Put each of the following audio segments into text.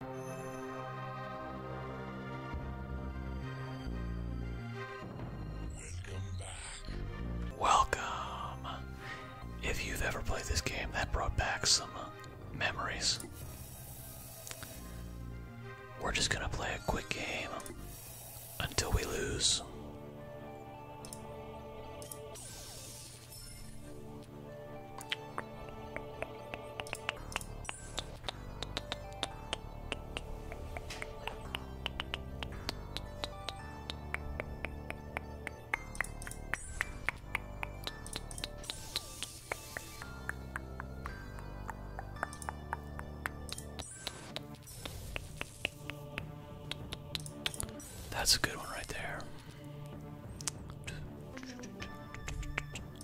Welcome back. Welcome. If you've ever played this game, that brought back some memories. We're just gonna play a quick game until we lose. That's a good one right there.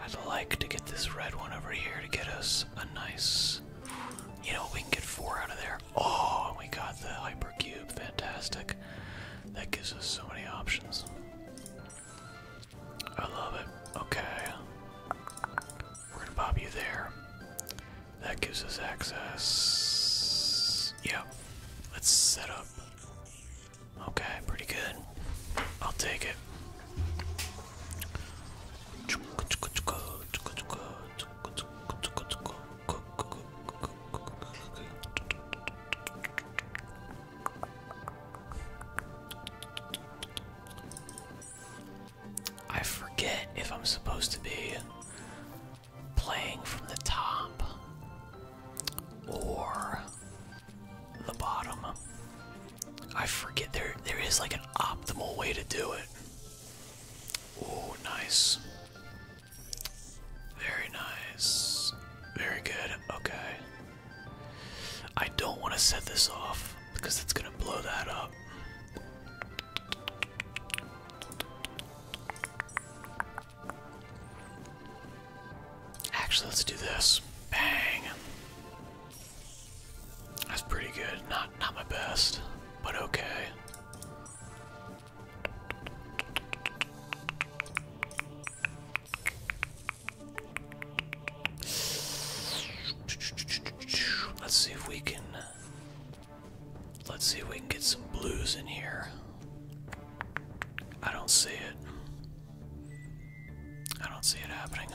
I'd like to get this red one over here to get us a nice. You know, we can get four out of there. Oh, we got the hypercube. Fantastic. That gives us so many options. I love it. Okay. We're gonna pop you there. That gives us access. Yep. Let's set up. Okay, pretty good. I'll take it. I forget if I'm supposed to be playing from the top or the bottom. I forget there there is like an optimal way to do it. Oh, nice. Very nice. Very good. Okay. I don't want to set this off because it's going to blow that up. Actually, let's do this. Bang. That's pretty good. Not not my best, but okay. Let's see if we can Let's see if we can get some blues in here. I don't see it. I don't see it happening.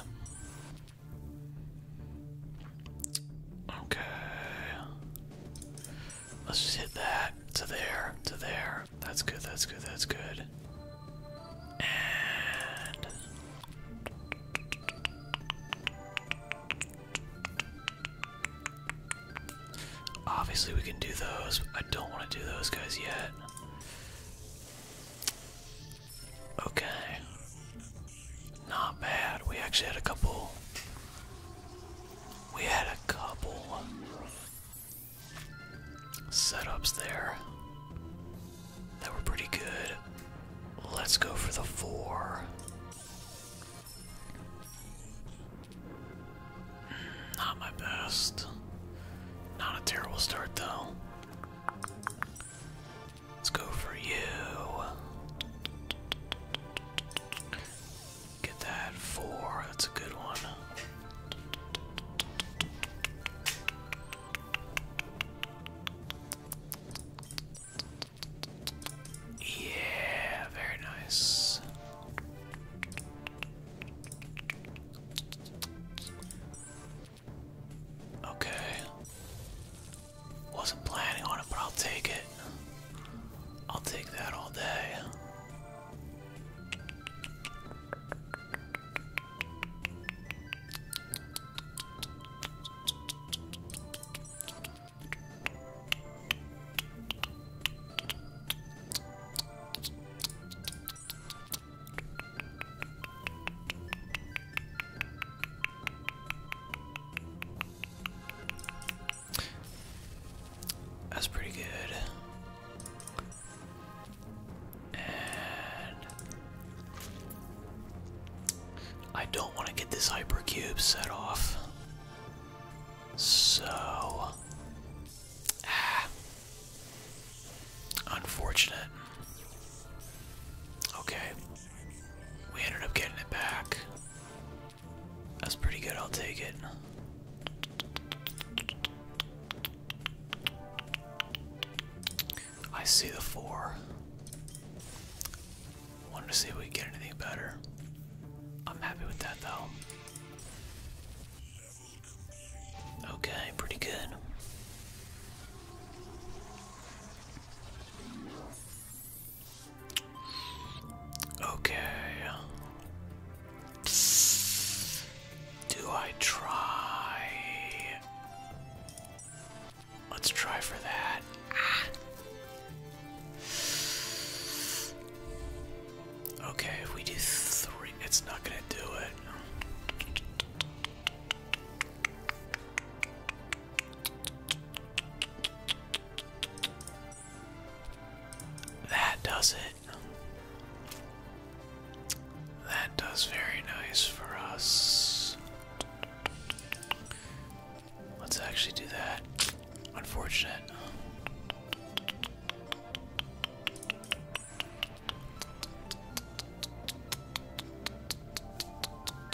Okay. Let's just hit that to there, to there. That's good, that's good, that's good. And. Obviously, we can do those. I don't want to do those guys yet. Okay. Not bad. We actually had a couple. We had a couple setups there that were pretty good. Let's go for the four. Hmm, not my best. Not a terrible start, though. Let's go for you. Get that four. That's a good one. Yeah, very nice. Okay. Wasn't planning on it, but I'll take it. I'll take that all day. That's pretty good. And I don't want to get this hypercube set off. So ah. Unfortunate. Okay. We ended up getting it back. That's pretty good, I'll take it. I see the four. Wanted to see if we get anything better. I'm happy with that though. Okay, pretty good. Okay. Do I try? Let's try for that. Ah. Okay, we do three, it's not gonna do it. That does it. That does very nice for us. Let's actually do that. Unfortunate.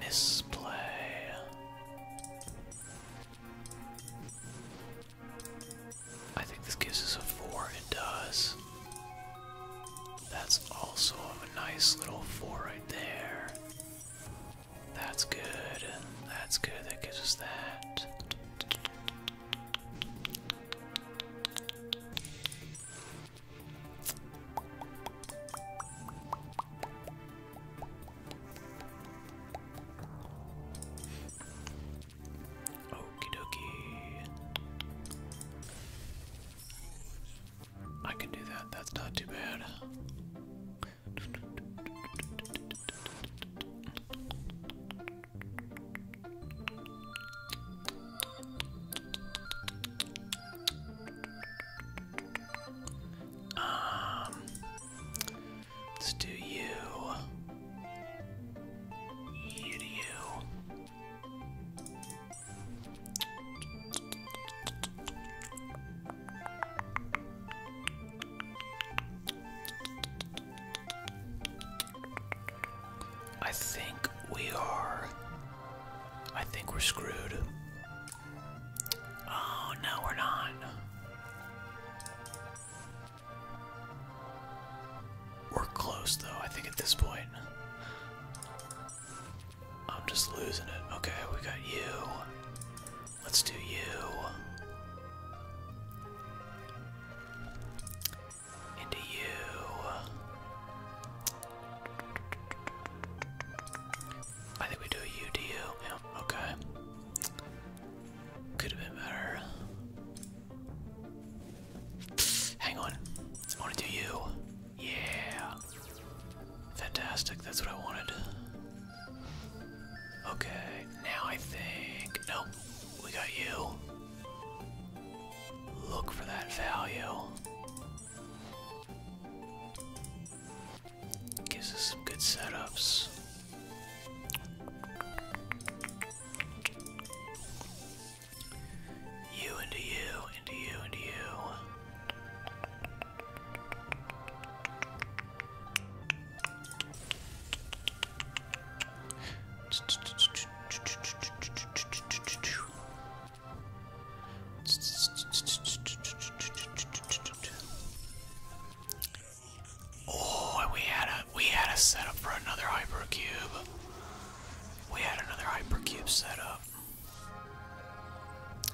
Misplay. I think this gives us a four. It does. That's also a nice little four right there. That's good. That's good. That gives us that. Okie dokie. I can do that, that's not too bad. Um, let's do you. You you. I think we are I think we're screwed. Oh, no, we're not. We're close, though, I think at this point. I'm just losing it. Okay, we got you. Let's do you into you. I think we do a U to you. okay. Could have been better. Hang on. I want to do you. Yeah. Fantastic. That's what I wanted. Okay. Now I think. Nope. We got you. Look for that value. Gives us some good setups. You into you, into you, into you. Oh, we had a we had a setup for another hypercube. We had another hypercube set up.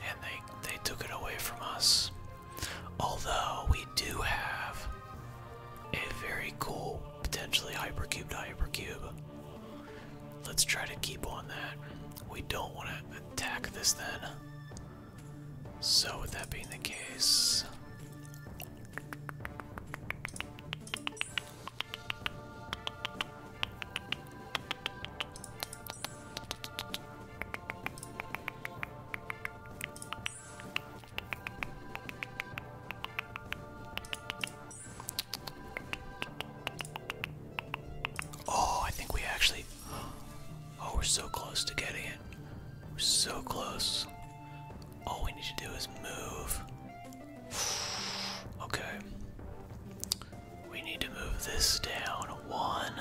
And they they took it away from us. Although we do have a very cool potentially hypercube hypercube Let's try to keep on that. We don't want to attack this then. So, with that being the case. Oh, I think we actually. Oh, we're so close to getting it. We're so close. All we need to do is move. Okay. We need to move this down one.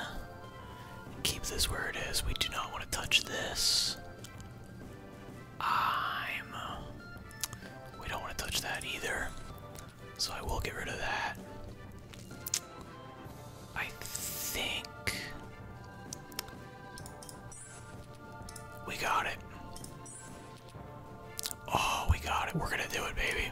Keep this where it is. We do not want to touch this. I'm. Uh, we don't want to touch that either. So I will get rid of that. I think we got it. Oh, we got it. We're going to do it, baby.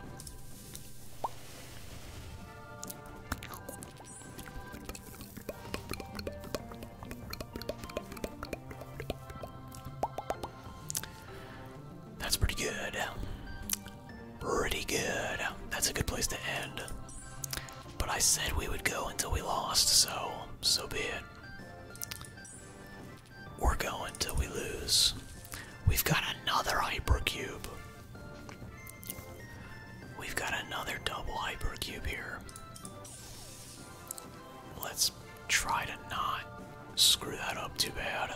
That's pretty good. Pretty good. That's a good place to end. But I said we would go until we lost, so, so be it. We're going till we lose. We've got another hypercube. We've got another double hypercube here. Let's try to not screw that up too bad.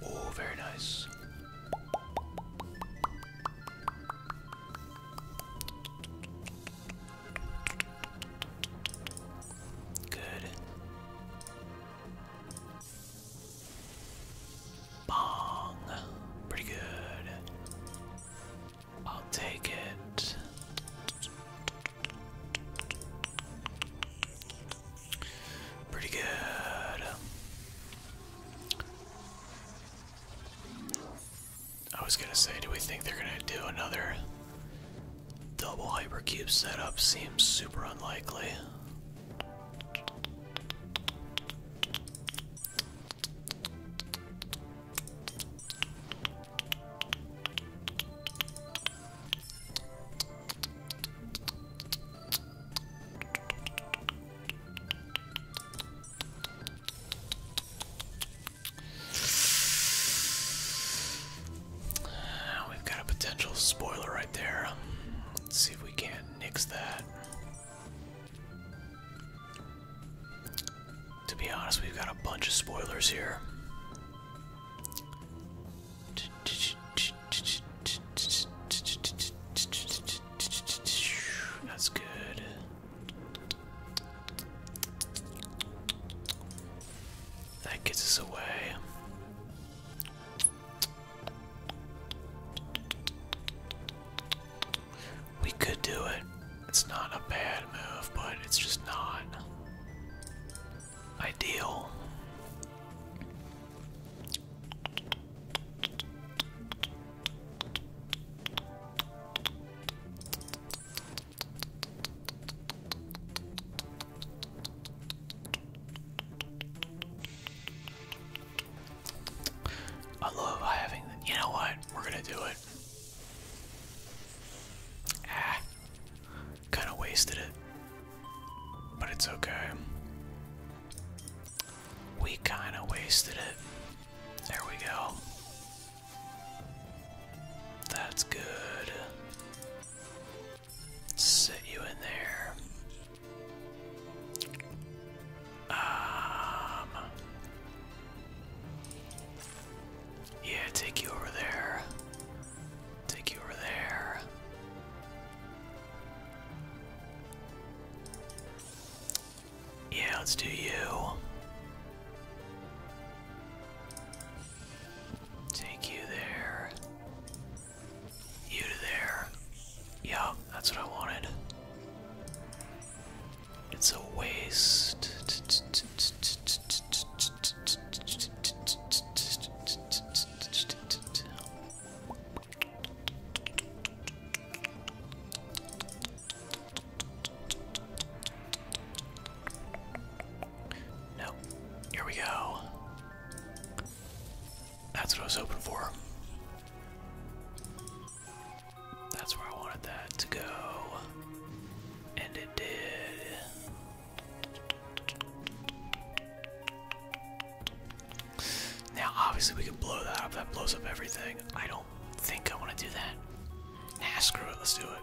Oh, very nice. Good. Bong. Pretty good. I'll take it. Pretty good. I was gonna say, do we think they're gonna do another double hypercube setup? Seems super unlikely. We've got a potential spoiler right there. Let's see if we can't nix that. To be honest, we've got a bunch of spoilers here. That's good. That gets us away. We could do it. It's not a bad move, but it's just not ideal. I love having. You know what? We're gonna do it. Ah. kind of wasted it, but it's okay. We kind of wasted it. There we go. That's good. Set you in there. Um, yeah, take you over there. Take you over there. Yeah, let's do you. Take you there. You there. Yeah, that's what I wanted. It's a waste. No, here we go. That's what I was hoping for. That's where I wanted that to go. And it did. Now, obviously, we can blow that up. That blows up everything. I don't think I want to do that. Nah, screw it. Let's do it.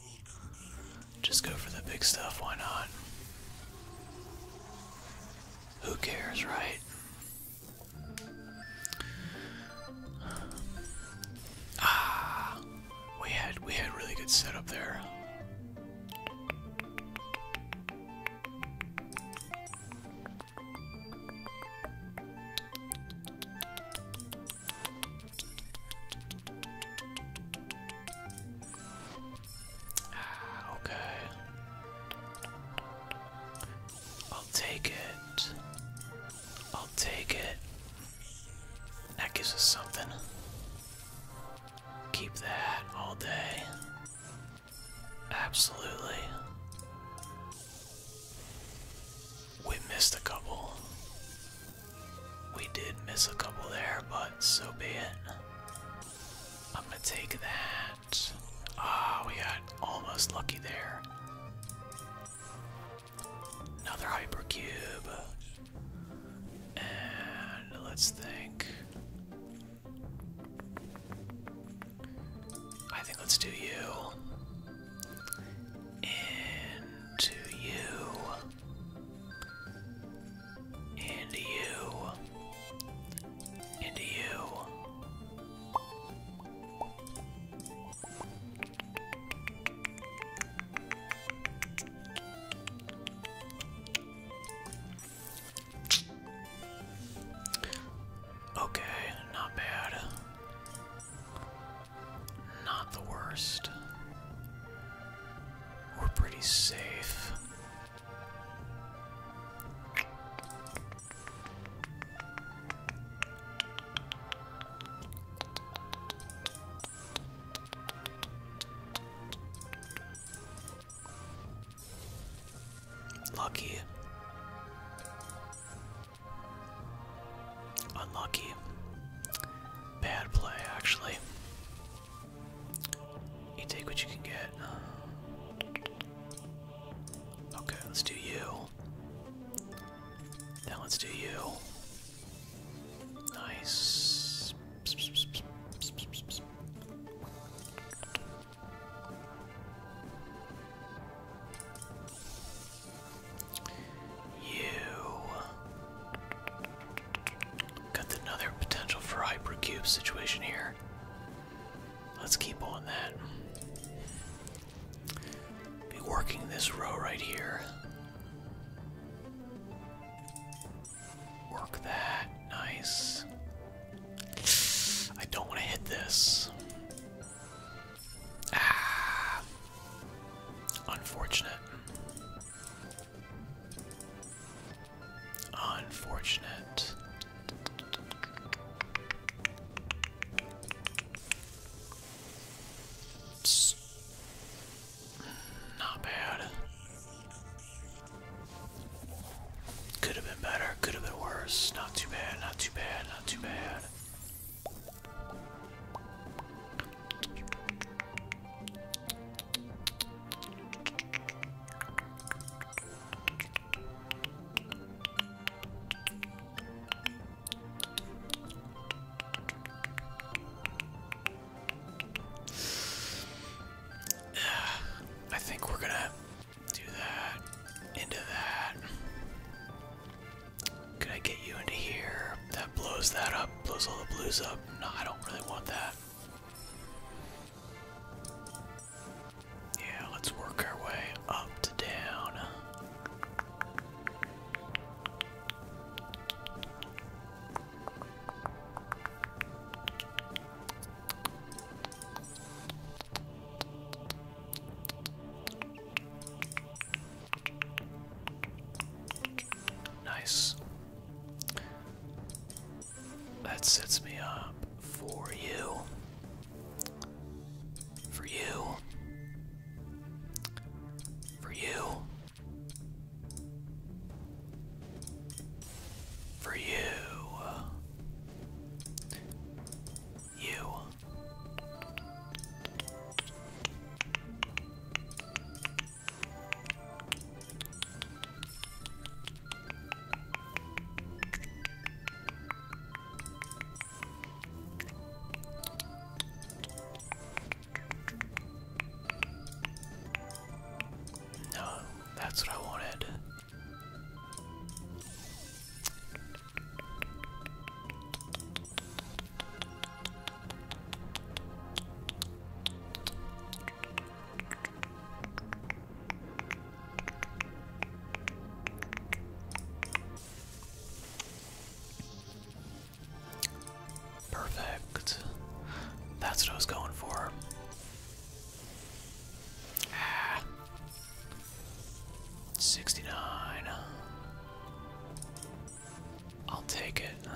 Just go for the big stuff, why not? Who cares, right? Ah, we had we had really good setup there. Ah, okay. I'll take it. I'll take it. That gives us something. Keep that all day. Absolutely. We missed a couple. We did miss a couple there, but so be it. I'm gonna take that. Ah, we got almost lucky there. Another hypercube. And let's think. I think let's do you. Into you. And you. And you. Okay, not bad. Not the worst. We're pretty safe. Lucky. Unlucky. Bad play, actually. You take what you can get. Okay, let's do you. Now let's do you. Nice. You. Got another potential for hypercube situation here. Let's keep on that. Be working this row right here. Work that. Nice. I don't want to hit this. Ah. Unfortunate. Unfortunate. not bad. Could have been better, could have been worse. Not too bad, not too bad, not too bad. I think we're gonna do that into that. Could I get you into here? That blows that up, blows all the blues up. No, I don't really want that. Yeah, let's work our way up to down. Nice. That sets me up for you. For you. For you. For you. You. No, that's what I wanted. Perfect. That's what I was going for. Ah. 69. I'll take it.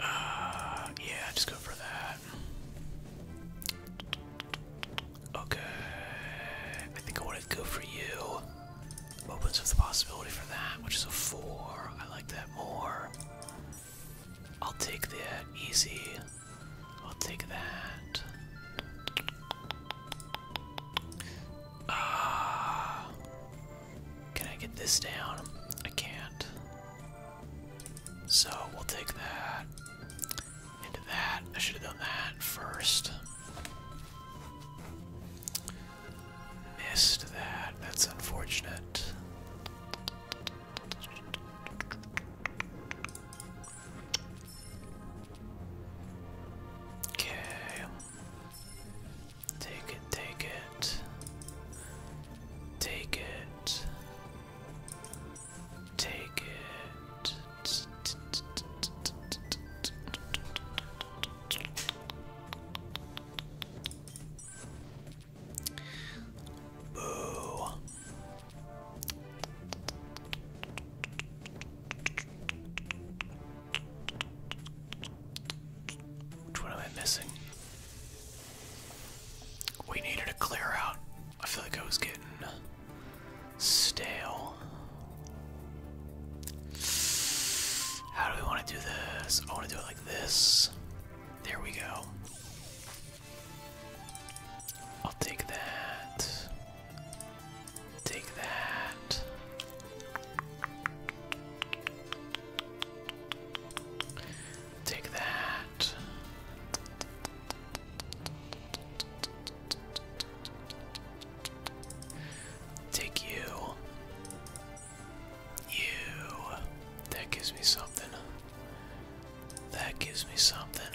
Uh, yeah, just go for that. Okay, I think I want to go for you. Opens up the possibility for that, which is a four. I like that more. I'll take that easy. I'll take that. Ah, can I get this down? I can't. So we'll take that into that. I should have done that first. Missed that. That's unfortunate. Okay. Take it, take it. Take it. Take it. Boo. Which one am I missing? We needed to clear out. I feel like I was getting stale. How do we want to do this? I want to do it like this. There we go. I'll take that. Take that. Take that. Take you. You. That gives me something. That gives me something.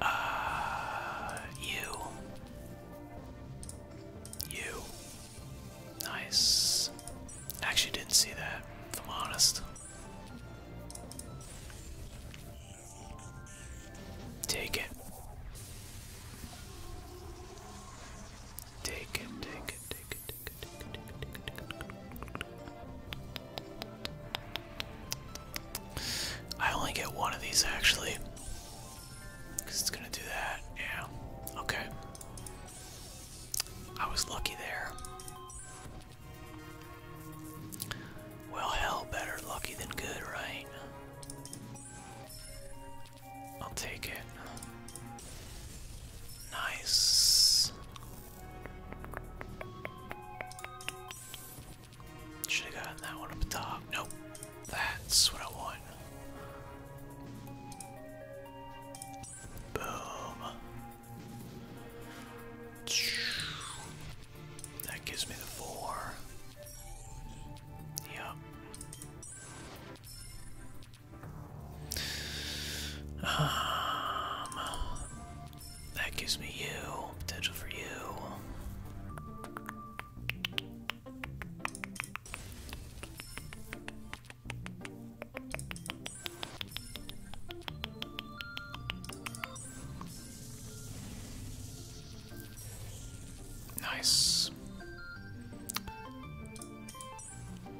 Uh, you. You. Nice. Actually didn't see that, if I'm honest. Take it. Take it, take it, take it, take it, take it, take it, take it. I only get one of these actually. Because it's going to do that. Yeah. Okay. I was lucky there. Well, hell, better lucky than good, right? I'll take it. Nice. Should have gotten that one up top. Nope. That's what I want. Boom. That gives me the four. Yep. Um, that gives me you. Potential for you. Nice.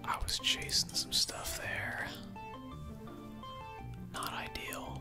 I was chasing some stuff there. Not ideal.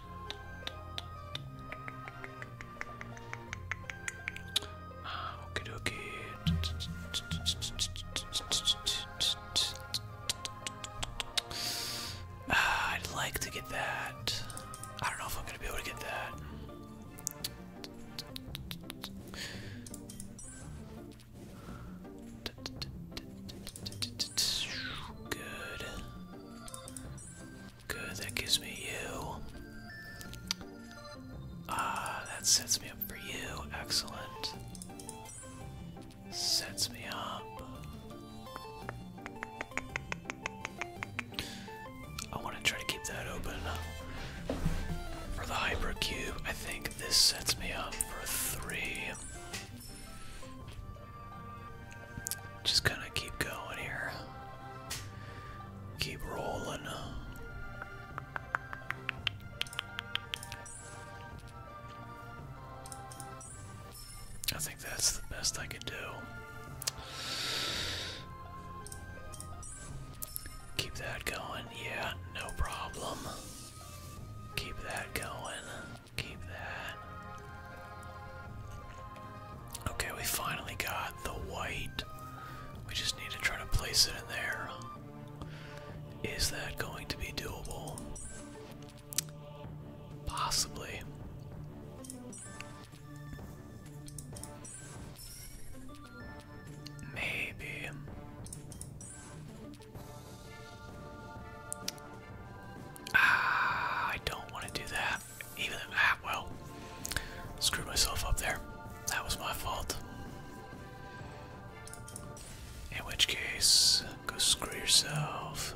okay, ah, okay. Ah, I'd like to get that. I don't know if I'm gonna be able to get that. Good. Good, that gives me you. Ah, that sets me up for you. Excellent. Sets me up. I want to try to keep that open. For the hyper cube, I think this sets me up for three. Just gonna keep going here. Keep rolling. I think that's the best I can do. Keep that going. Yeah, no problem. Keep that going. Keep that. Okay, we finally got the white. We just need to try to place it in there. Is that going to be doable? Possibly. Maybe. Ah, I don't want to do that even ah well, screwed myself up there. That was my fault. In which case, go screw yourself.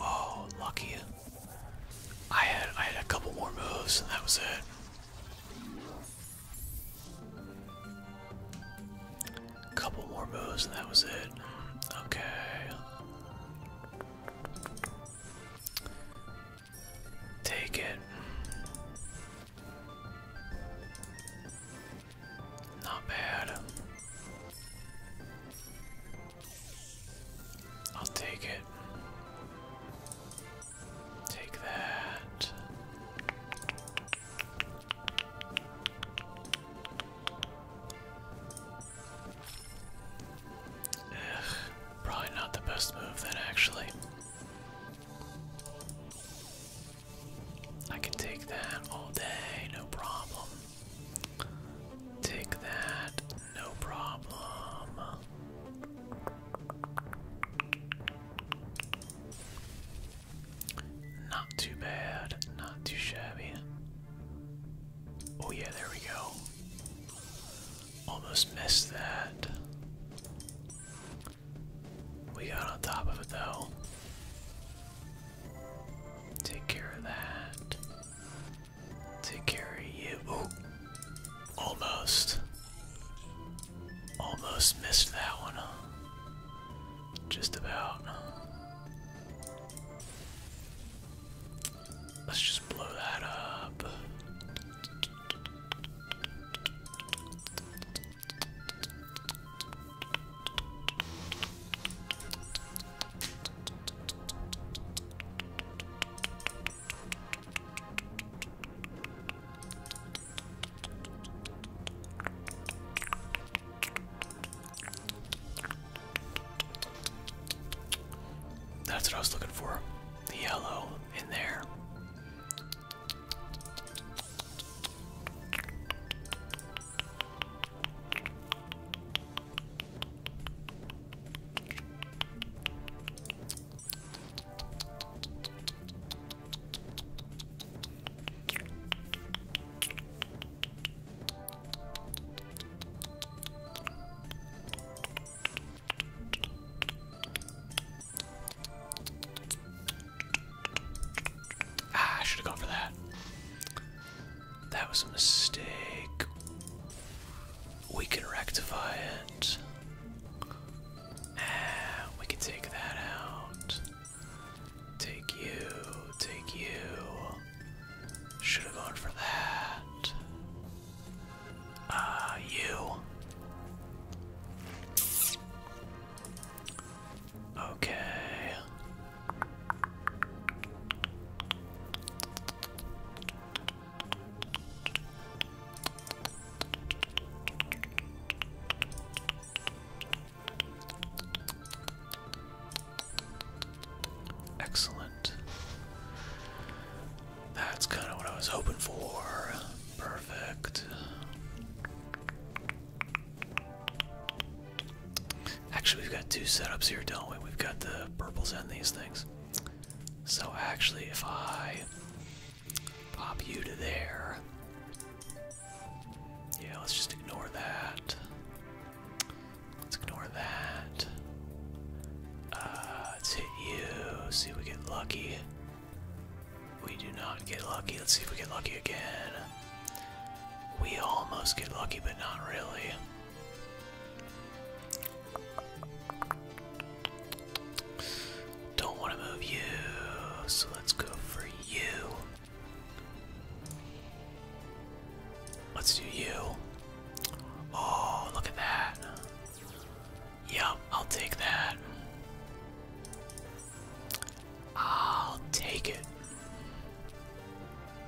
Oh, lucky. I had I had a couple more moves and that was it. Couple more moves and that was it. Okay. Take it. Not bad. I'll take it. Take that. Ugh, probably not the best move then actually. I can take that all day, no problem. Take that, no problem. Not too bad, not too shabby. Oh, yeah, there we go. Almost missed that. We got on top of it though. Take care of that. Take care of you. Almost. Almost missed that one. Just about. Let's just blow that up. That's what I was looking for. The yellow in there. Ah, I should have gone for that. That was a mistake. We can rectify it. Ah, we can take that out. Take you, take you. Should have gone for that. Ah, you. Okay. Excellent. That's kind of what I was hoping for. Perfect. Actually, we've got two setups here, don't we? We've got the purples and these things. So actually, if I pop you to there, yeah, let's just ignore that. Let's ignore that. Uh, let's hit you. See if we get lucky. We do not get lucky. Let's see if we get lucky again. We almost get lucky, but not really. Don't want to move you, so let's go for you. Let's do you. Oh, look at that. Yep, I'll take that. I'll take it.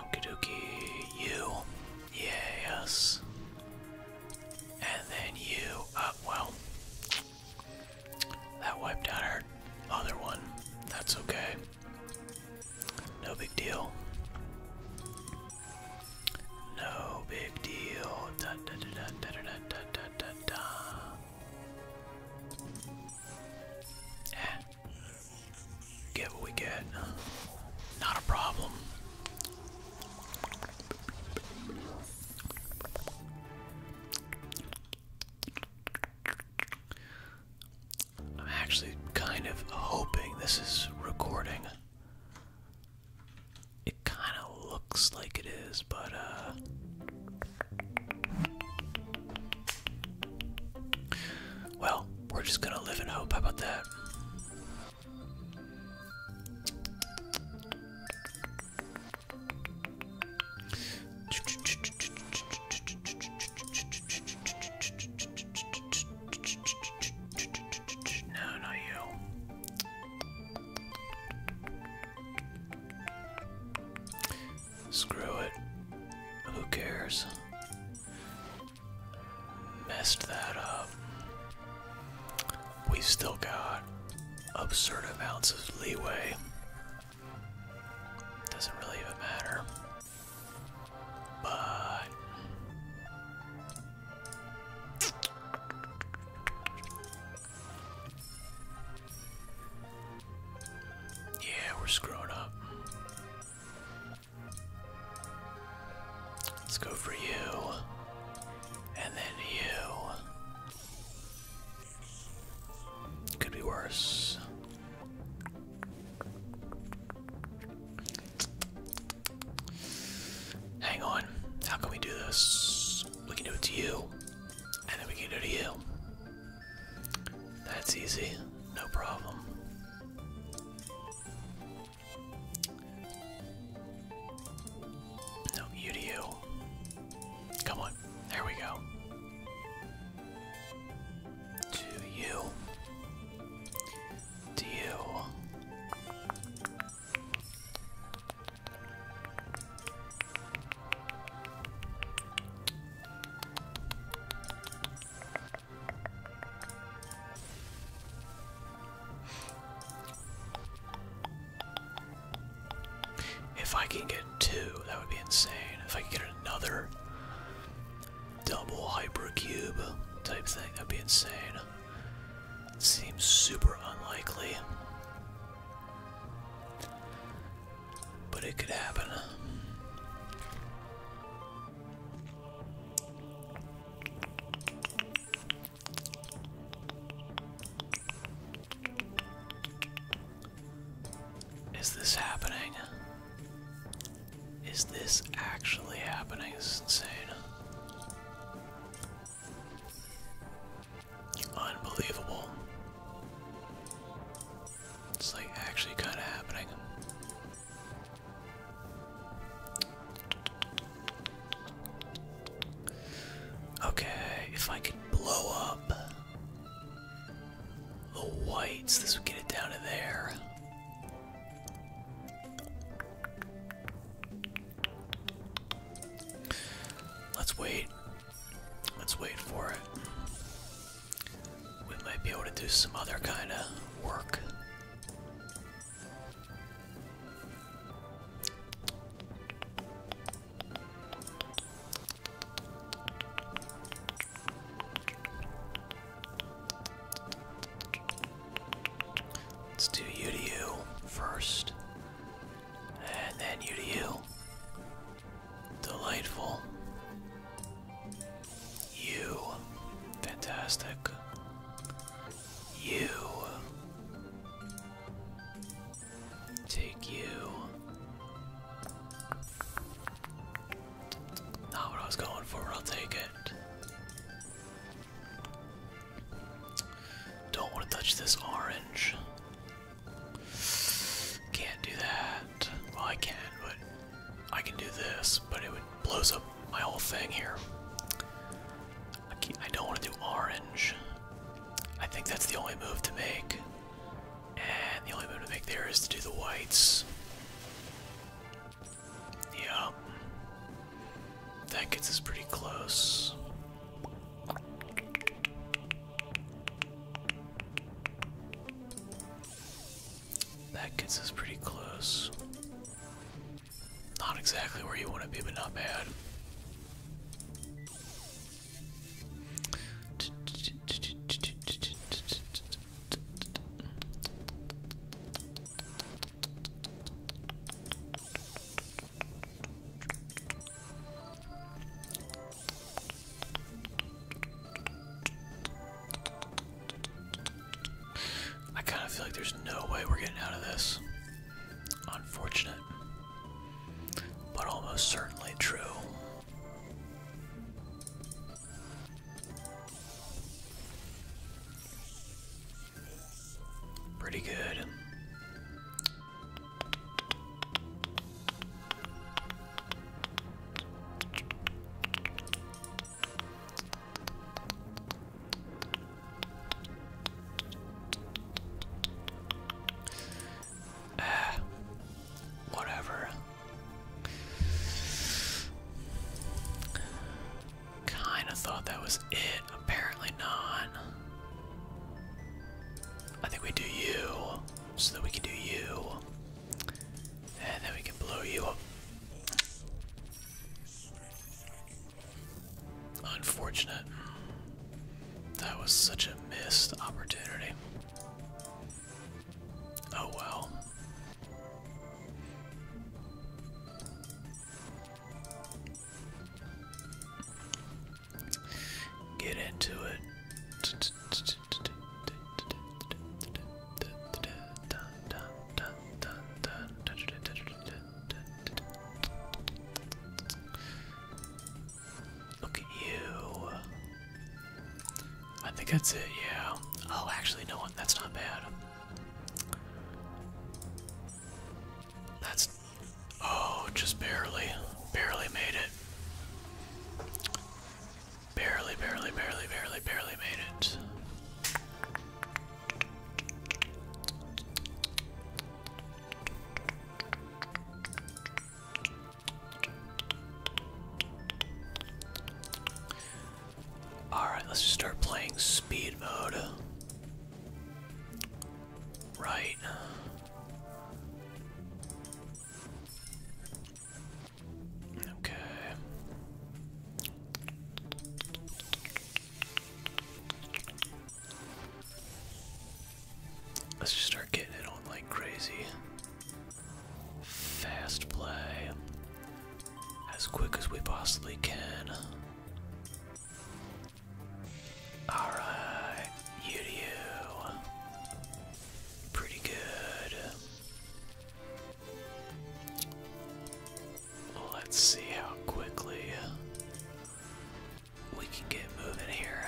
Okie dokie, you. Yes. And then you. Uh, well. That wiped out our other one. That's okay. No big deal. No big deal. Dun, dun, dun, dun, dun, dun, dun, dun, dun, eh. Get what we get. Not a problem. I'm actually kind of hoping this is recording. It kind of looks like it is, but uh Well, we're just going to live in hope. How about that? No, not you. Screw it. Who cares? Messed that up. We've still got absurd amounts of leeway. Doesn't really even matter. But yeah, we're screwing up. Let's go for you. And then you. Could be worse. Hang on. How can we do this? We can do it to you. And then we can do it to you. That's easy. No problem. No, you to you. Come on. There we go. To you. To you. If I can get two, that would be insane. If I could get another double hypercube type thing, that'd be insane. Seems super unlikely. But it could happen. Is this happening? Is this actually happening? This is insane. Unbelievable. It's like actually kind of happening. Okay, if I could blow up the whites, this would get it down to there. Let's wait. Let's wait for it. We might be able to do some other kind of work. It's us do you to you first. And then you to you. Delightful. You. Fantastic. You. Take you. Not what I was going for, I'll take it. Don't want to touch this orange. Can't do that. Well, I can, not but I can do this, but it would blows up my whole thing here. I, I don't want to do orange. I think that's the only move to make. And the only move to make there is to do the whites. Yeah. That gets us pretty close. That gets us pretty close. Not exactly where you want to be, but not bad. I kind of feel like there's no way we're getting out of this. Unfortunate, but almost certainly true. Pretty good. Ah, whatever. Kind of thought that was it. Apparently not. I think we do you, so that we can do you, and then we can blow you up. Unfortunate. That was such a missed opportunity. Oh well. Get into it. Look at you. I think that's it, yeah. Oh, actually, no one. That's not bad. That's. Oh, just barely. Barely made it. Barely, barely, barely, barely, barely made it. Alright, let's just start playing speed mode. Right. Okay. Let's just start getting it on like crazy. Fast play. As quick as we possibly can. Alright, Pretty good. Let's see how quickly we can get moving here.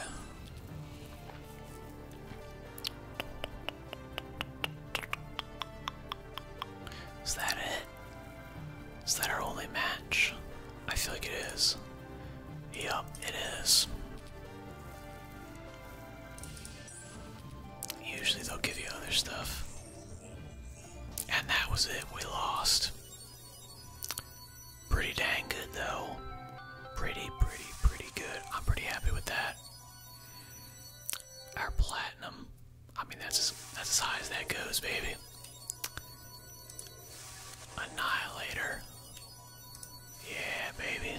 Is that it? Is that our only match? I feel like it is. Yup, it is. Usually they'll give you other stuff. And that was it, we lost. Pretty dang good though. Pretty, pretty, pretty good. I'm pretty happy with that. Our platinum. I mean that's that's as high as that goes, baby. Annihilator. Yeah, baby.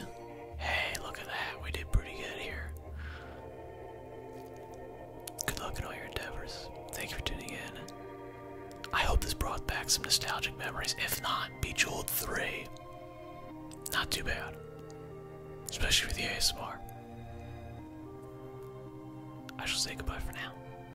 Hey, look at that. We did pretty good here. Good luck in all your endeavors. Thank you for tuning in. I hope this brought back some nostalgic memories. If not, be jeweled 3. Not too bad. Especially with the ASMR. I shall say goodbye for now.